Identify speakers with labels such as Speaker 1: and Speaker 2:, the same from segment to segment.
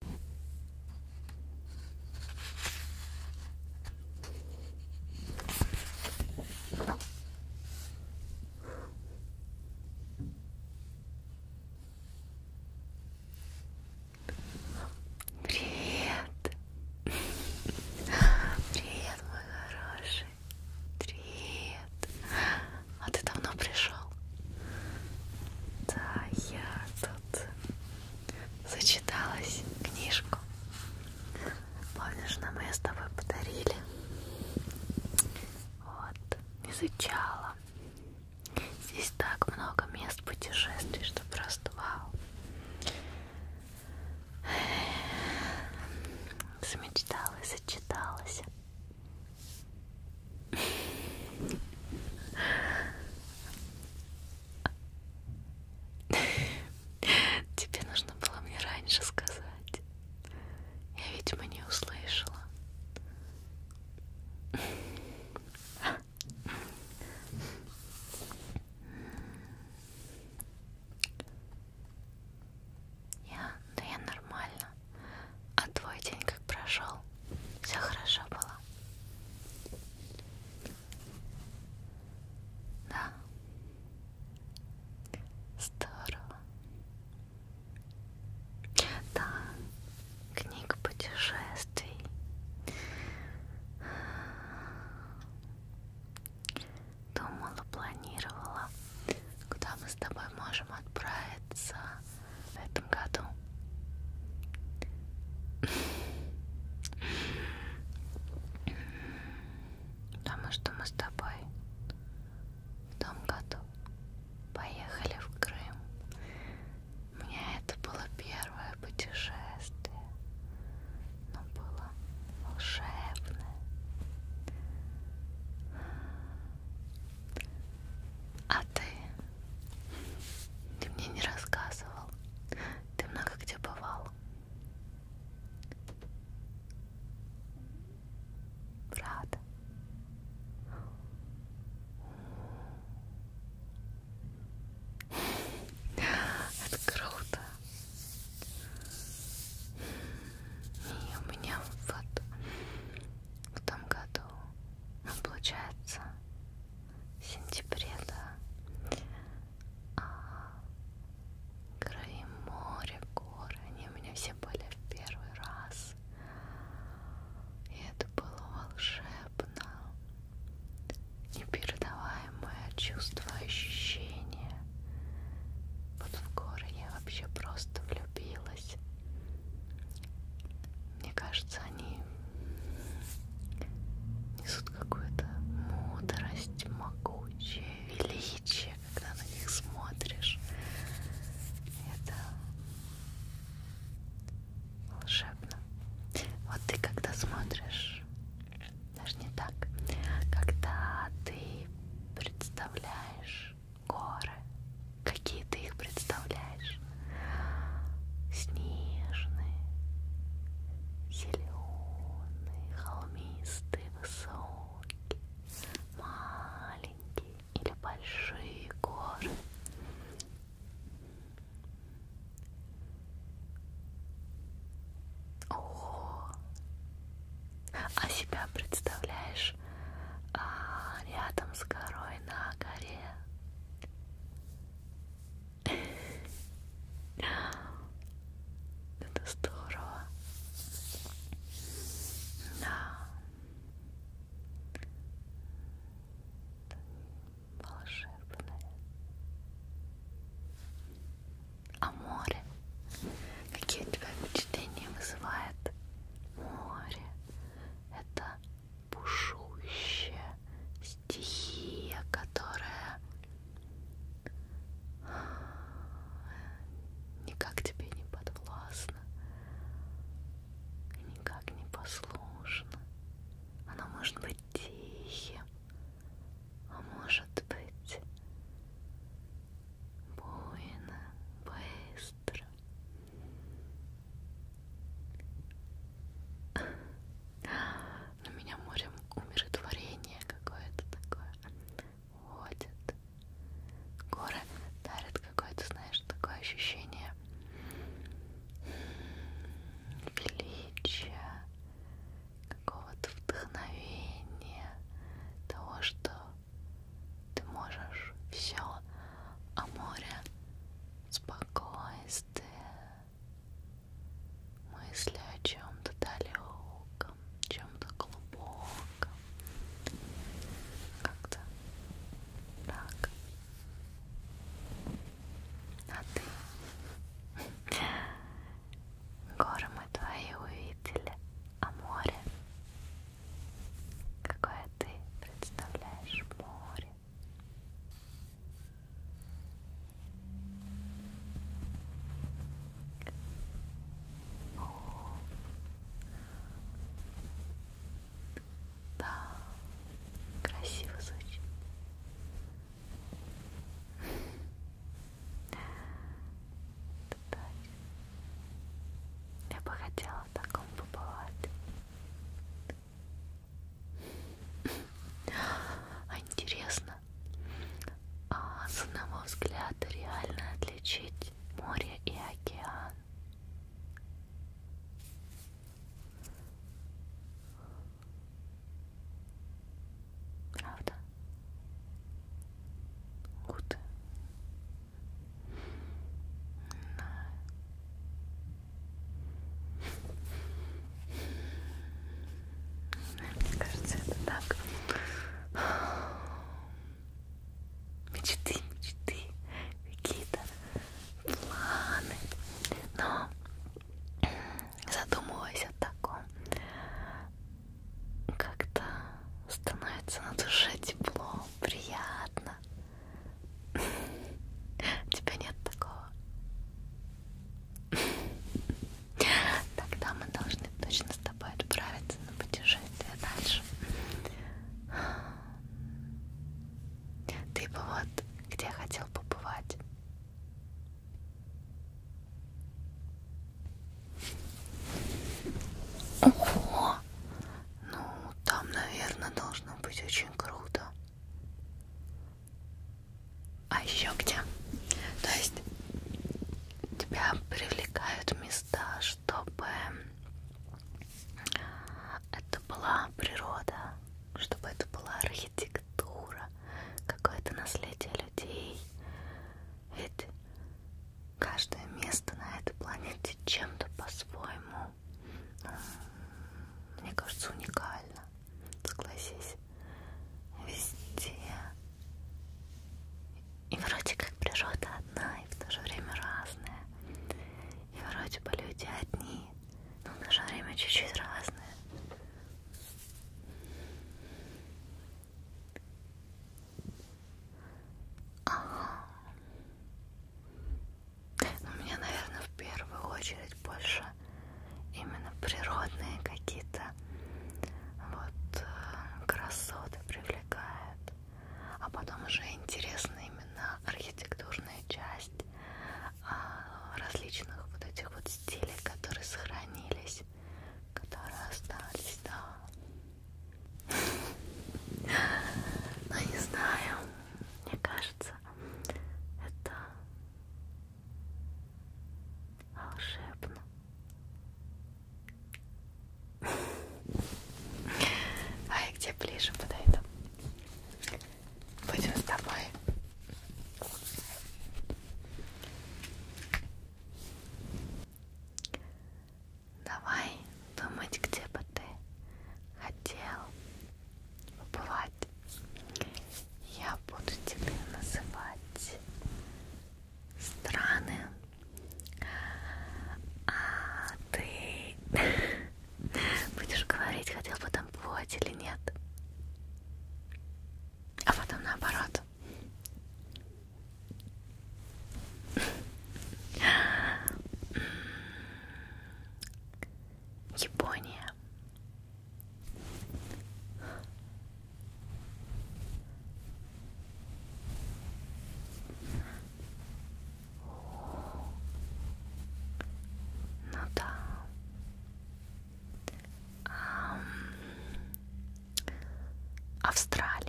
Speaker 1: Привет! Привет, мой хороший! Привет! А ты давно пришел? Да, я тут зачиталась книжку. Помнишь, нам ее с тобой подарили? Вот, изучала. Здесь так много мест путешествий, что просто вау. Замечталась, зачиталась. Тебе нужно было мне раньше сказать. Я, видимо, не услышала. Я, да я нормально. А твой день как прошел? все хорошо было. Да. Здорово. Да, книга путешествий. Думала, планировала, куда мы с тобой можем отправиться в этом году. Потому что мы с тобой в том году поехали в Крым. У меня это было первое путешествие. Но было волшебное. А ты? Ты мне не рассказывал. Ты много где бывал. Рада. Это круто. И у меня вот в том году, получается, в сентябре, да. А, край моря, горы, они у меня все были в первый раз. И это было волшебно, непередаваемое чувство, ощущение. Вот в горы я вообще просто влюбилась. Мне кажется, они несут какую-то мудрость, могучее величие, когда на них смотришь. Это волшебно. Вот ты когда смотришь, даже не так, когда ты представляешь горы, какие ты их представляешь, наш снежный, зеленый, холмистый, высокий, маленький или большие горы. Ого! А себя представляешь а, рядом с горой на горе? Это здорово. Да. Волшебное. А море? Какие у тебя впечатления вызывает море? Это бушующая стихия, которая никак тебе не подвластна, никак не послушна. Она может быть тихим, а может быть буйно, быстро, на меня морем умиротворение какое-то такое ходит. Горы дарят какое-то, знаешь, такое ощущение величия, какого-то вдохновения, того, что ты можешь все, а море спокойно чистые мысли о чем-то далеком, чем-то глубоком, как-то так. А ты? Горы мы твои увидели, а море? Какое ты представляешь море? Да, красиво звучит. Я бы хотела в таком побывать. А интересно, а с одного взгляда реально отличить море и океан? Правда? Гуд. Мне кажется, это так. Мечты, мечты, какие-то планы. Но задумываясь о таком, как-то становится на душе тепло, приятно. У тебя нет такого. Тогда мы должны точно с тобой отправиться на путешествие дальше. Ты бы вот где хотел побывать. Ого! Ну, там, наверное, должно быть очень круто а еще где то есть тебя привлекают места чтобы это была природа чтобы это была архитектура какое-то наследие людей ведь каждое место на этой планете чем-то по-своему но мне кажется уникально. Согласись, везде. И вроде как природа одна, и в то же время разная. И вроде бы люди одни, но в то же время чуть-чуть разные. Ага. Но меня, наверное, в первую очередь больше именно природные какие-то вот э, красоты привлекают. А потом уже интересна именно архитектурная часть а, различных вот этих вот стилей, которые сохранились, которые остались, да. Ну, не знаю, мне кажется, сердца. Это волшебно. Ай, где ближе подойду? Будем с тобой. Давай думать, где бы ты хотел побывать называть. Я буду тебе называть страны, а ты будешь говорить, хотел бы там плоть или нет, а потом наоборот. Япония. Ну да. А, Австралия.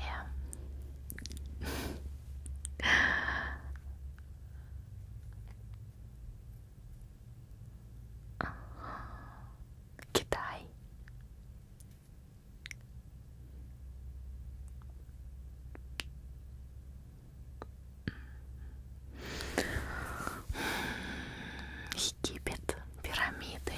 Speaker 1: Китай. Египет, пирамиды.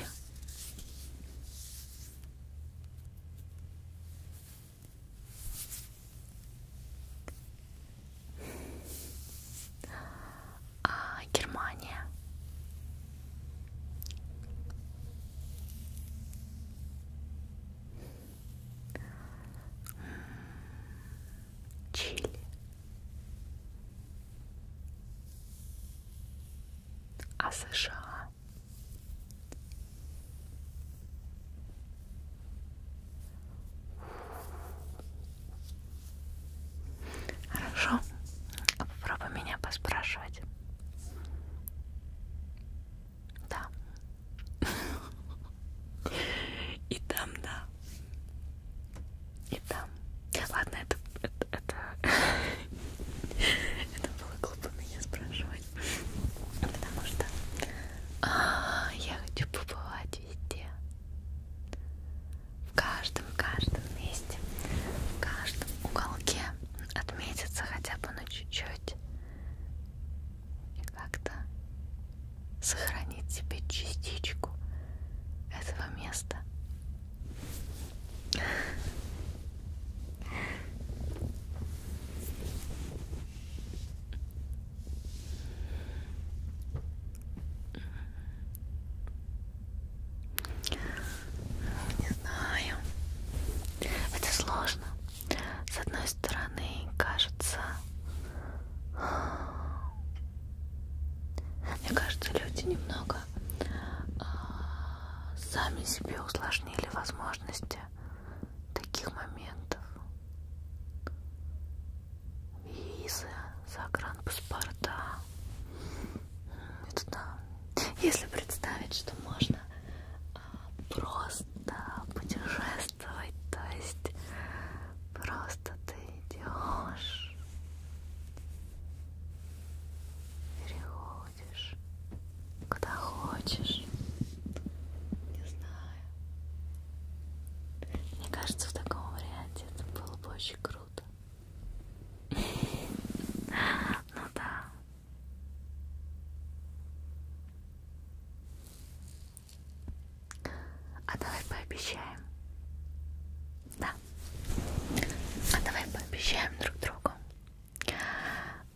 Speaker 1: А, Германия. Чили. А США. Хорошо. Попробуй меня поспрашивать. Да. И там, да. И там. Ладно, это... Это, это... это было глупо меня спрашивать. Потому что а, я хочу побывать везде, в каждом, каждом месте, в каждом уголке отметиться хотя бы на чуть-чуть и как-то сохранить себе частичку этого места. Не знаю. Это сложно. С одной стороны, кажется, мне кажется, люди немного а, сами себе усложнили возможности таких моментов визы, загранпаспорта. Это да. Если представить, что можно а, просто путешествовать, то есть просто ты идешь, переходишь, куда хочешь, не знаю. Мне кажется, в таком варианте это было бы очень круто. Ну да. А давай пообещаем. Да. А давай пообещаем друг другу,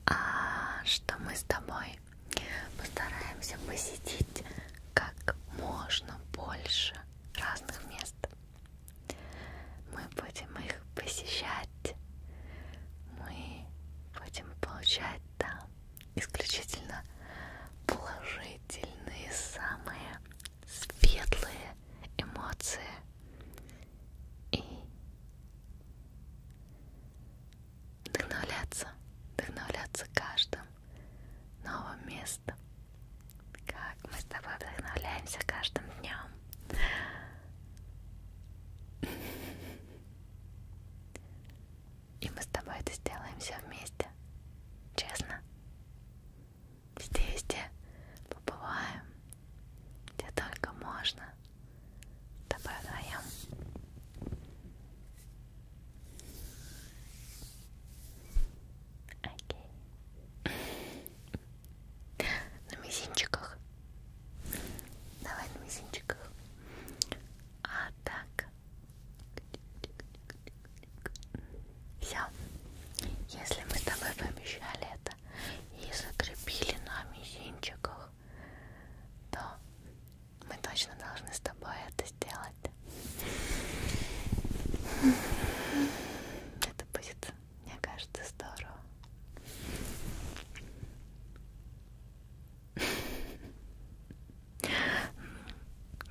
Speaker 1: а, что мы с тобой мной. Постараемся посетить как можно больше разных мест. Мы будем их посещать. Мы будем получать там исключительно положительные, самые светлые эмоции. И вдохновляться, вдохновляться каждым новом места. Как мы с тобой вдохновляемся каждым днем. И мы с тобой это сделаем все вместе. Честно. Здесь, где побываем, где только можно. С тобой вдвоем. Окей. На мизинчиках. Давай на мизинчиках. А так. Все. Если мы с тобой пообещали это и закрепили на мизинчиках, то мы точно должны с тобой это сделать. Это будет, мне кажется, здорово.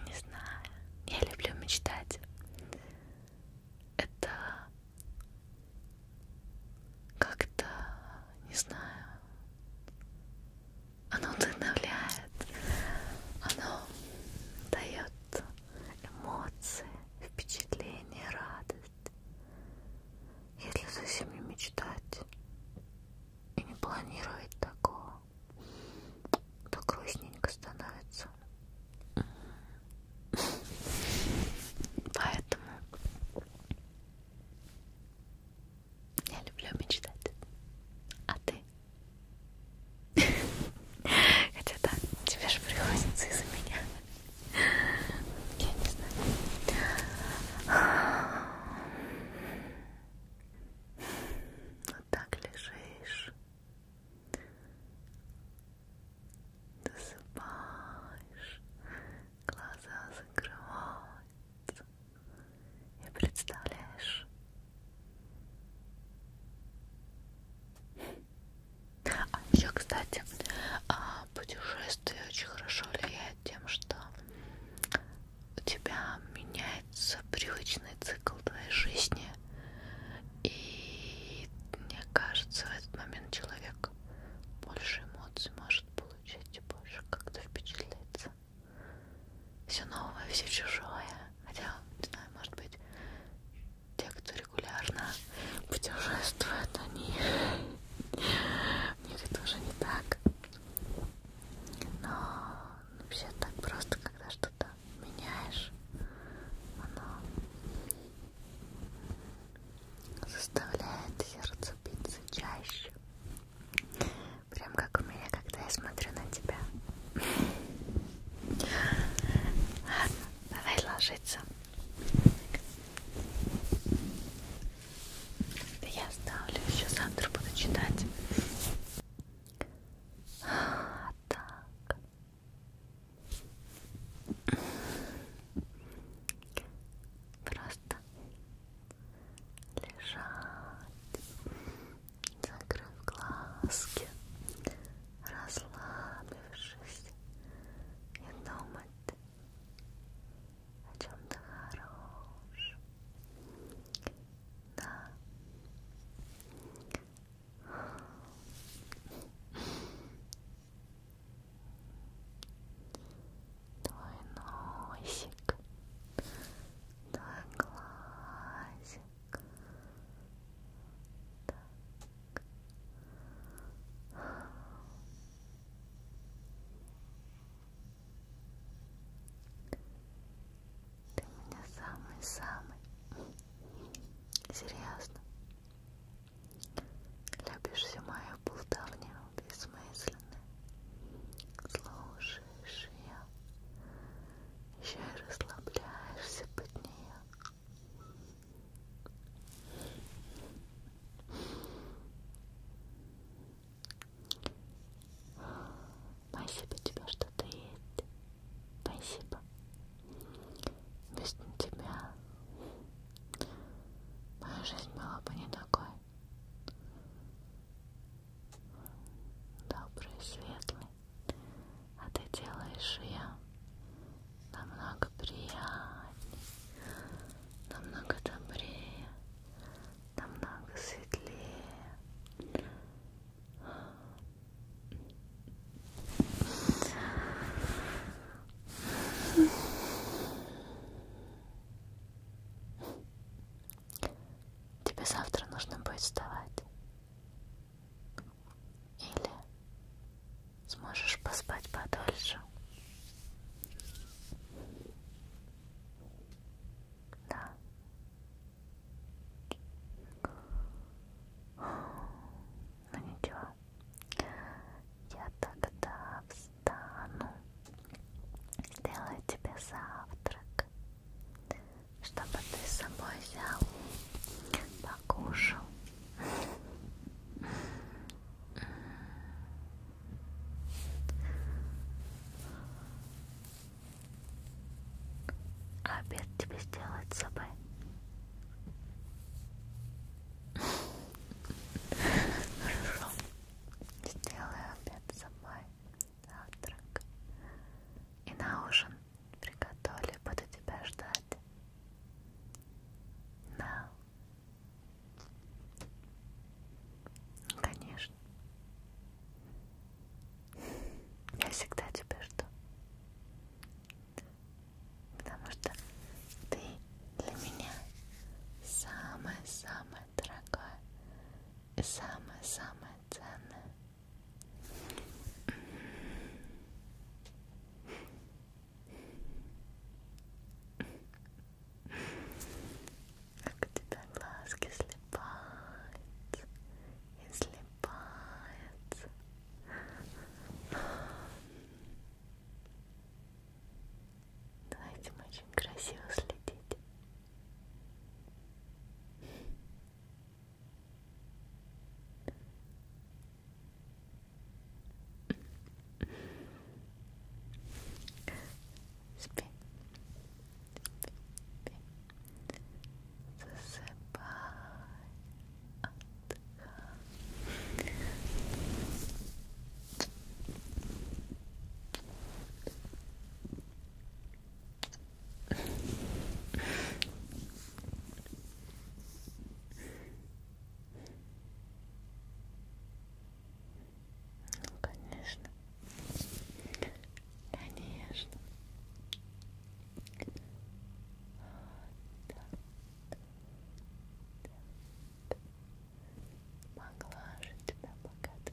Speaker 1: Не знаю. Я люблю мечтать. Это как-то, не знаю, оно вдохновляет, оно дает эмоции, впечатления, радость. Если совсем не мечтать и не планировать такого, то грустненько становится. Поэтому я люблю мечтать. А ты? Хотя да, тебе же приходится из-за меня. Я не знаю. Вот так лежишь. Досыпаешь. Глаза закрываются. И представляешь? А еще, кстати, а, путешествие очень хорошо влияет тем, что у тебя меняется привычный цикл твоей жизни. И мне кажется, в этот момент человек больше эмоций может получить и больше как-то впечатляется все новое, все чужое. Хотя, не знаю, может быть, те, кто регулярно путешествует, они у них это уже не так. Но вообще так просто, когда что-то меняешь, оно заставляет сердце биться чаще. Прям как у меня, когда я смотрю на тебя. Ладно, давай ложиться. Да я оставлю, еще завтра буду читать. А, так. Просто лежать, закрыв глазки, расслабившись и думать о чем-то хорошем. Да. Твой носик твой глазик. Так. Ты меня самый-самый серьезно любишь всю мою болтовню бессмысленную. Слушай, слышишь ее, еще и расслабляешься под нее. Спасибо тебе, что ты есть. Спасибо. Без тебя моя жизнь была бы не такой добрый, светлый, а ты делаешь ее намного приятней, намного добрее, намного светлее. Тебе завтра нужно будет вставать. Или сможешь поспать подольше. Да. Ну ничего. Я тогда встану. Сделаю тебе завтрак чтобы ты с собой взял, покушал. Обед тебе сделать с собой. Хорошо. Сделаю обед с собой завтрак и на ужин приготовлю, буду тебя ждать. Да. Конечно. Я всегда тебя жду. Потому что ты для меня самая-самая дорогое и самое-самое ценное. Как у тебя глазки слепаются и слепаются. За этим очень красиво следить. Спи. Спи. Засыпай. Отдыхай. Ну, конечно. Конечно. Вот так. Так. Могла же тебя богато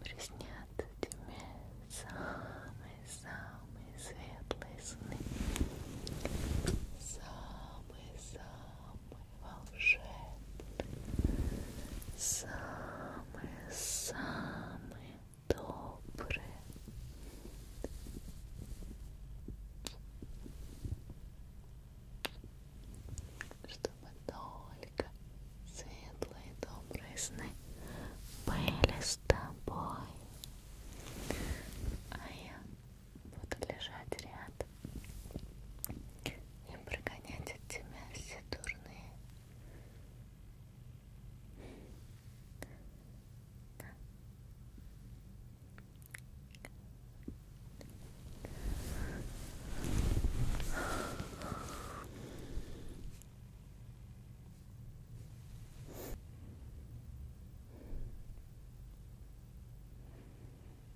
Speaker 1: Приснятся тебе самые-самые светлые сны. Самые-самые волшебный, самый-самый добрый. Чтобы только светлые добрые сны были с тобой. А я буду лежать рядом и прогонять от тебя все дурные. Да. Ой,